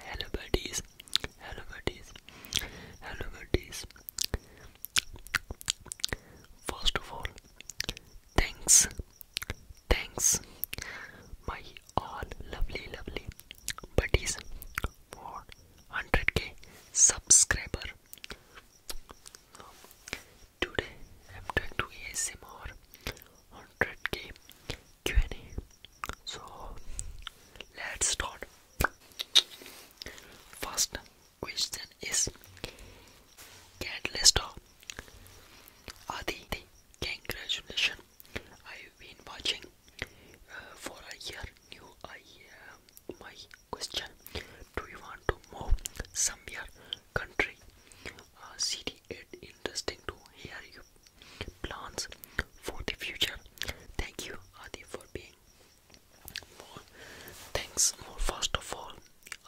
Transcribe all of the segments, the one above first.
Hello buddies, hello buddies, hello buddies. First of all, thanks, thanks, my all lovely, lovely buddies for 100k subscriber. Today I'm trying to ASMR 100k So let's start. First question is Cat Lester Adi, congratulations. I've been watching uh, for a year. New I am uh, my question do you want to move somewhere country city It's interesting to hear you plans for the future thank you adi for being thanks first of all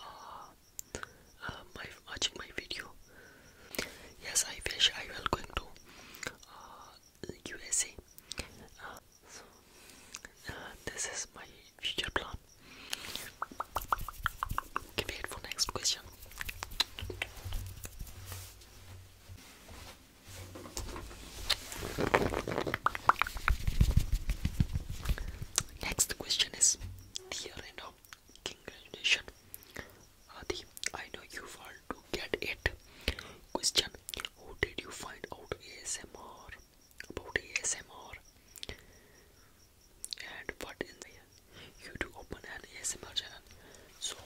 uh, uh watching my video yes i wish i will going to usa uh, so, uh, this is my future plan. Can for next question? Next question is Dear Reno, congratulations Adi, I know you want to get it Question, who did you find out ASMR about ASMR and what in the you to open an ASMR channel. So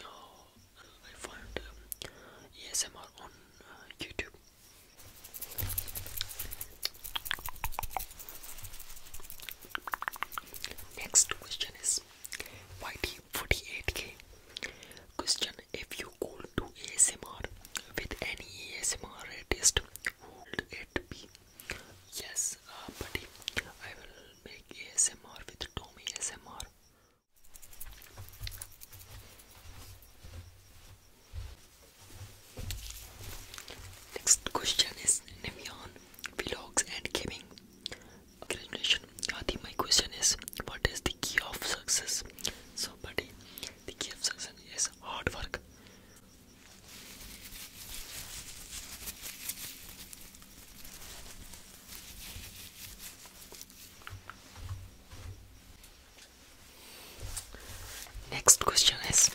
uh, I found um, ASMR on uh, YouTube. Next question is why do 48k? Question If you could do ASMR with any ASMR artist, who would it be? Yes, uh, buddy, I will make ASMR with Tommy ASMR. Next question is Nevian Vlogs and Gaming. Congratulations, Adi. My question is What is the key of success. So, buddy, the key of success is hard work. Next question is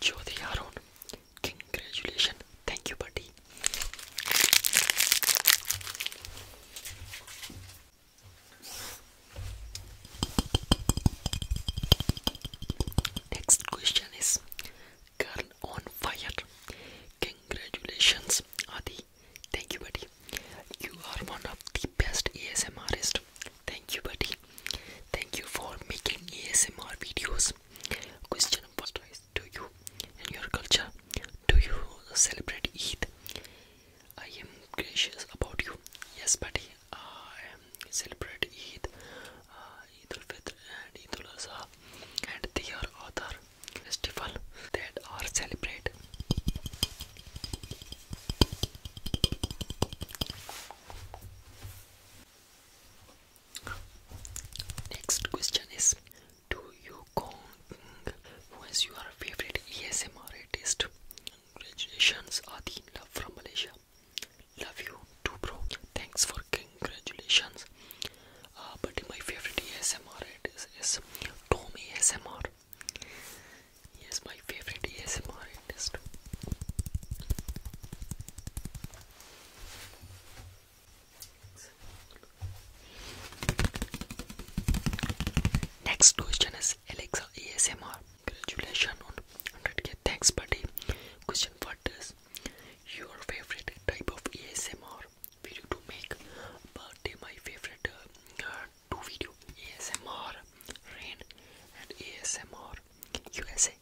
Jyoti Arun. Congratulations. Thank you, buddy. Next question is Girl on fire. Congratulations, Adi. Thank you, buddy. You are one of the best ASMRist. Thank you, buddy. Thank you for making ASMR videos. Question first is Do you, in your culture, do you celebrate Eid? I am gracious about you. Yes, buddy. I am celebrate Eid, uh, Fitr, and Eid Azha, and they are other festival that are celebrated. Next question is do you Kong? Who is your favorite ASMR artist? Congratulations, Adi Love from Malaysia. Love you too, bro. Thanks for congratulations. Uh, but my favorite ASMR artist is Tom ASMR. He is my favorite ASMR artist. Next question is Alexa ASMR. Congratulations on 100k. Thanks, buddy. Question What is your favorite type of ASMR video to make? But my favorite uh, uh, two video ASMR rain and ASMR USA.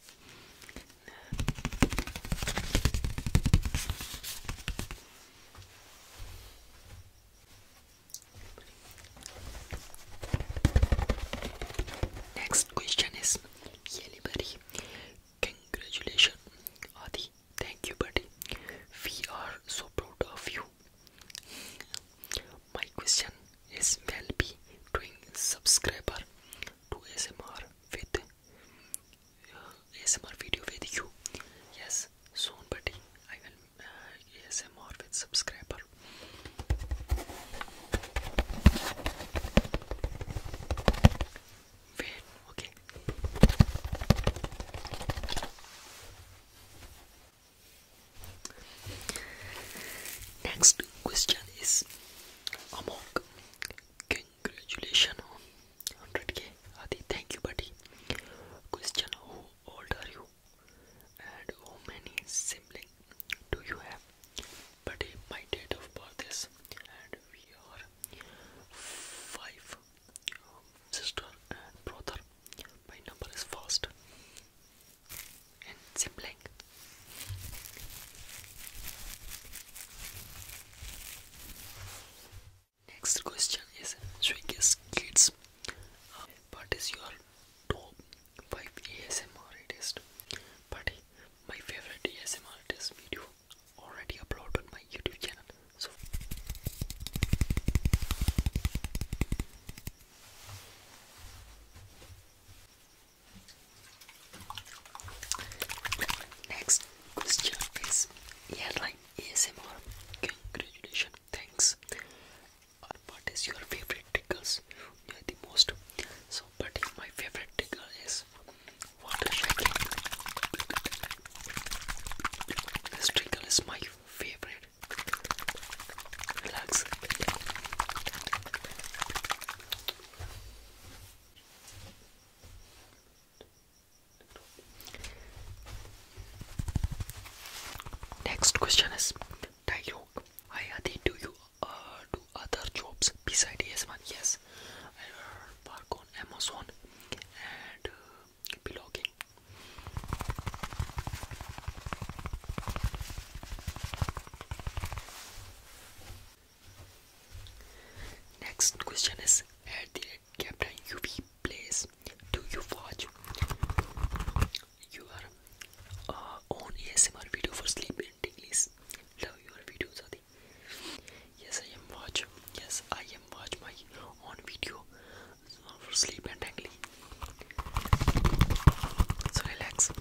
Next question is Yelibari. Congratulations, Adi. Thank you, buddy. We are so proud of you. My question is will be doing subscriber to ASMR with ASMR video with you. Yes, soon, buddy. I will uh, ASMR with subscriber. okay. Next question is Amok. Congratulations 100k Adi thank you buddy question how old are you and how many siblings do you have buddy my date of birth is and we are five um, sister and brother my number is first and sibling Next question is Swiggy's Kids. Uh, what is your top 5 ASMR artist? But my favorite ASMR artist video already uploaded on my YouTube channel. So Next question is airline ASMR. Congratulations, thanks. what is your favorite trickles? You are the most. So, but my favorite tickle is water shaking. This tickle is my favorite. Relax. Next question is dialogue. Hi Adi, do you uh, do other jobs besides ES1? Yes, I work on Amazon and uh, blogging. Next question is at the Captain UV plays. Do you watch your uh, own ASMR video for sleep and tingles? Love your videos, Adi. Yes, I am watch. Yes, I am watch my own video uh, for sleep and tingly. So relax.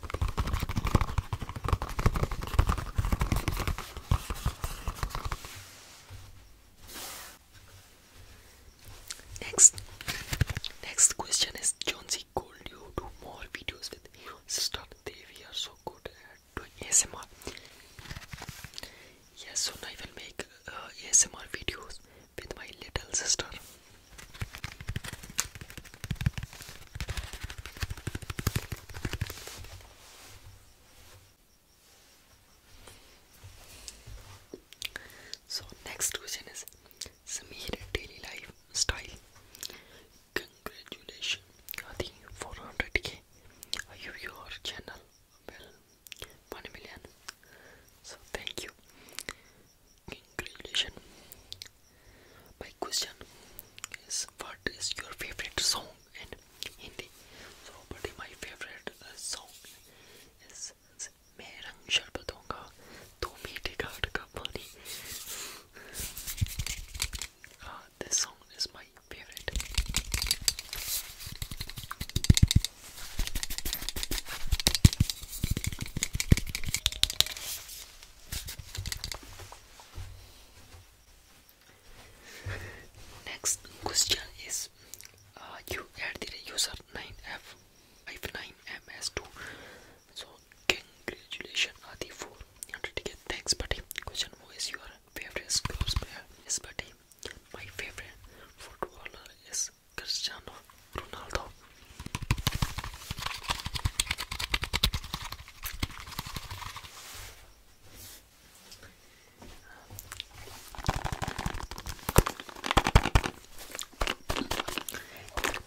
Next, next question is John C. Gold. You do more videos with your sister. They we are so good at doing ASMR. Yes, so now I will make uh, ASMR videos with my little sister. So next question is Sameer daily life style. Congratulations, Adi, 400k. you your channel? Well, 1 million. So thank you. Congratulations. My question is, what is your favorite song? and Hindi. So, but my favorite uh, song is "Main sharbatonga, tu meete ka pani." Uh, this song is my favorite. Next question is uh, you add the user 9F 59MS2. So congratulations Adi for 100k. Thanks buddy. Question who is your favorite sports player? Yes buddy. My favorite footballer is Cristiano Ronaldo.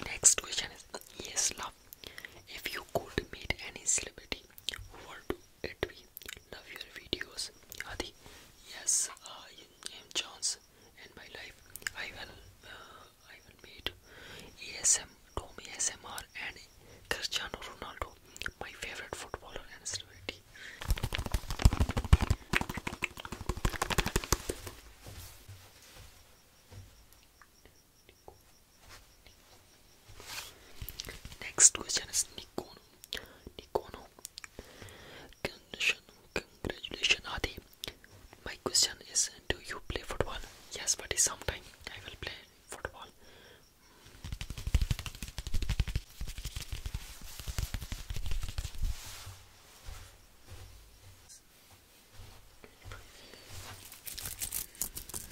Next question is Yes, love. If you could meet any celebrity, who would it be? Love your videos. Adi. Yes, uh, I am Jones. In my life, I will, uh, I will meet ASM Tommy SMR and Cristiano Ronaldo, my favorite footballer and celebrity. Next question is Nikono. Nikono. Congratulations, Adi. My question is Do you play football? Yes, but sometimes I will play football.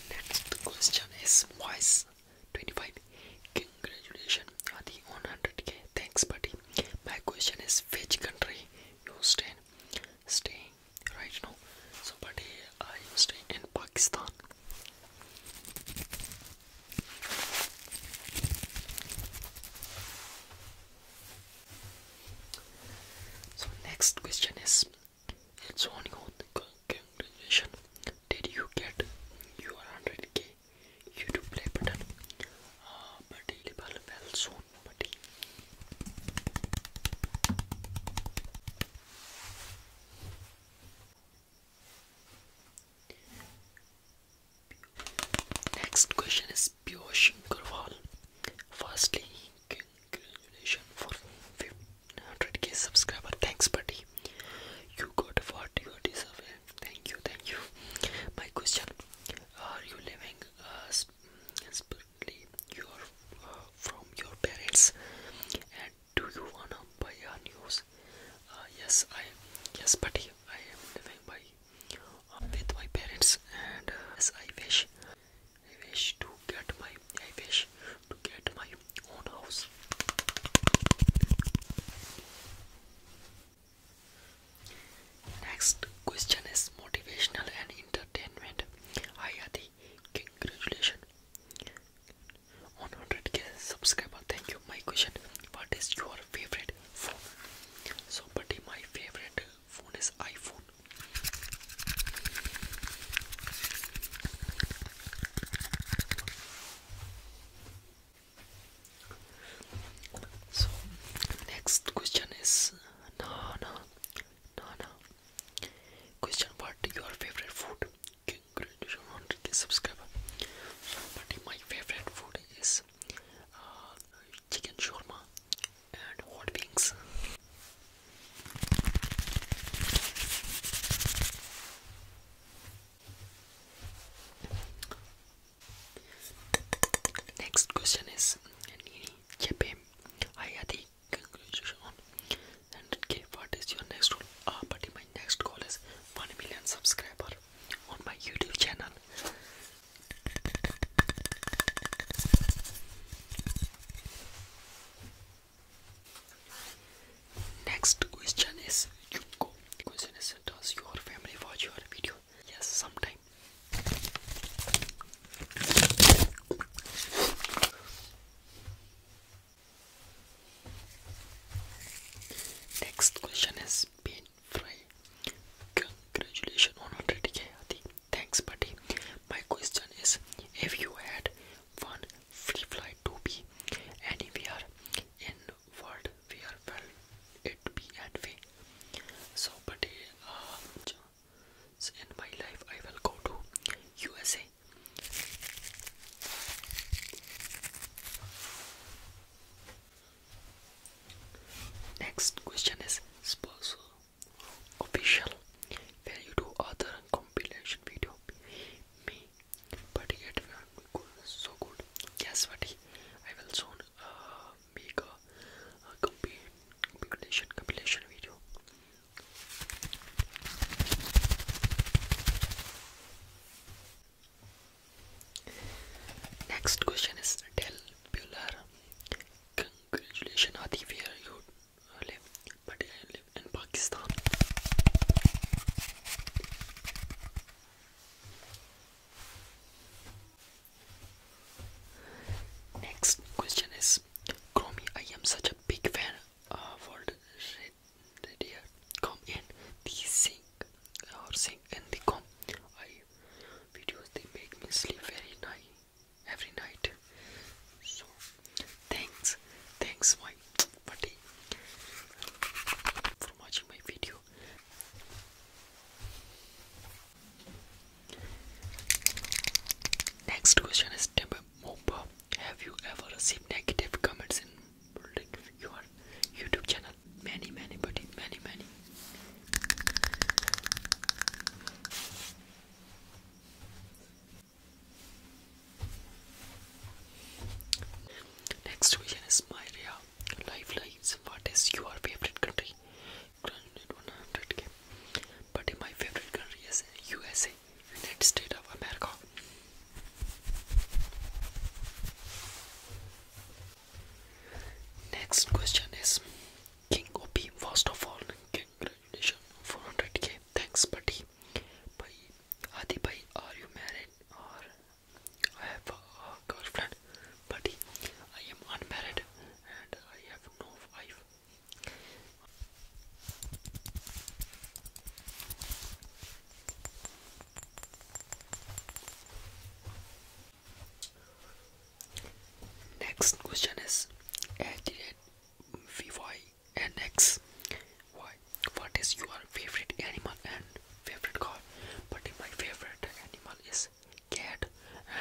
Next question is Wise 25. Congratulations on the 100k. Thanks, buddy. My question is which country you stay in? Staying right now. So, but I used in Pakistan. So next question is, it's on you. Congratulations! Did you get your 100k YouTube play button? Uh, but available well soon, buddy. Next question is Piyush Gurwal. Firstly, congratulations for 100k subscriber. Thanks, buddy. You got 40 you deserve. Thank you, thank you. My question: Are you living a uh, currently you are uh, from your parents and do you wanna buy a news uh, yes I yes but I am living by uh, with my parents and as I wish I wish to get my I wish to get my own house Next question is motivational and entertainment. Hi Adi, congratulations on 100k subscriber thank you my question what is your favorite phone so buddy my favorite phone is iphone so next question is no no no no Question What your favorite food? Congratulations on the subscriber. but my favorite food is uh, chicken shawarma and hot wings. Next question is Nini Chepe Hayati Congratulations on 100k. is your next goal? Ah, uh, buddy, my next goal is 1 million subscriber on my YouTube channel. Next question is you go. Question is does your family watch your video? Yes, sometime. Next question is Pain Fry. Congratulations on 100k Thanks buddy. My question is if you had one free flight to be anywhere in world where will it be and way? So buddy uh, in my life I will go to USA. Next question is Sposo Official where you do other compilation video me but yet so good yes buddy I will soon uh, make compilation compilation video. Next question is Del Bueller. Congratulations, Adi, where you I live in Pakistan. Next question is Chromie, I am such a big fan of old radio com and the sync or sync and the com I videos they make me sleep very night every night. So thanks, thanks my buddy for watching my video. Next question is Tim Mopa. Have you ever received negative comments in your YouTube channel? Many, many, buddy, many, many. Next question is Myria. Life What is your favorite country? granted 100k. But my favorite country is USA, United States of America. Next question is King OP, first of all, King nation 400k. Thanks, buddy. Buddy, Adi bhai, are you married or I have a girlfriend? Buddy, I am unmarried and I have Next question is Adrian VY and X. What is your favorite animal and favorite car? But my favorite animal is cat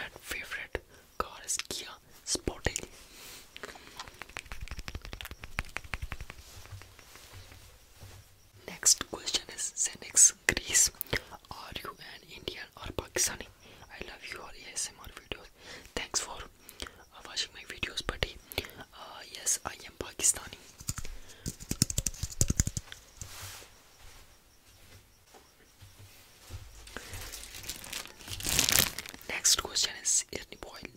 and favorite car Kia Sportage. Next question is Zenex Greece. Are you an Indian or Pakistani? I love your ASMR videos. Thanks for uh, watching my videos, buddy. Uh, yes, I am Pakistani. Next question is Ernie Boyle.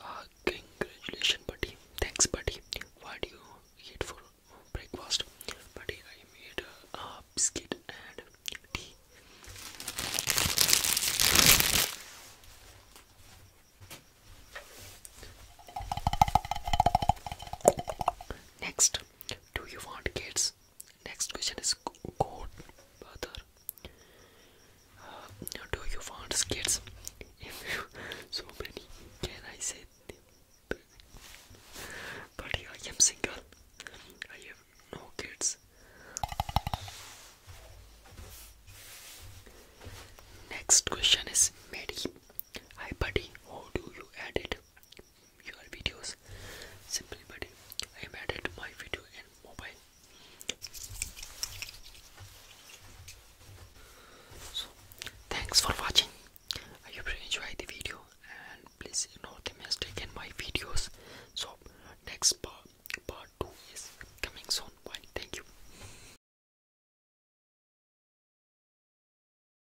Uh, congratulations, buddy. Thanks, buddy. What do you eat for breakfast? Buddy, I made a biscuit and tea. Next, do you want kids? Next question is go further. Uh, do you want kids? so many, can I say? But I am single. I have no kids. Next question is Mary. Hi buddy, how do you add it? your videos simply but I added my video in mobile so thanks for watching I hope you enjoy the video and please ignore the mistake in my videos so next part part 2 is coming soon bye thank you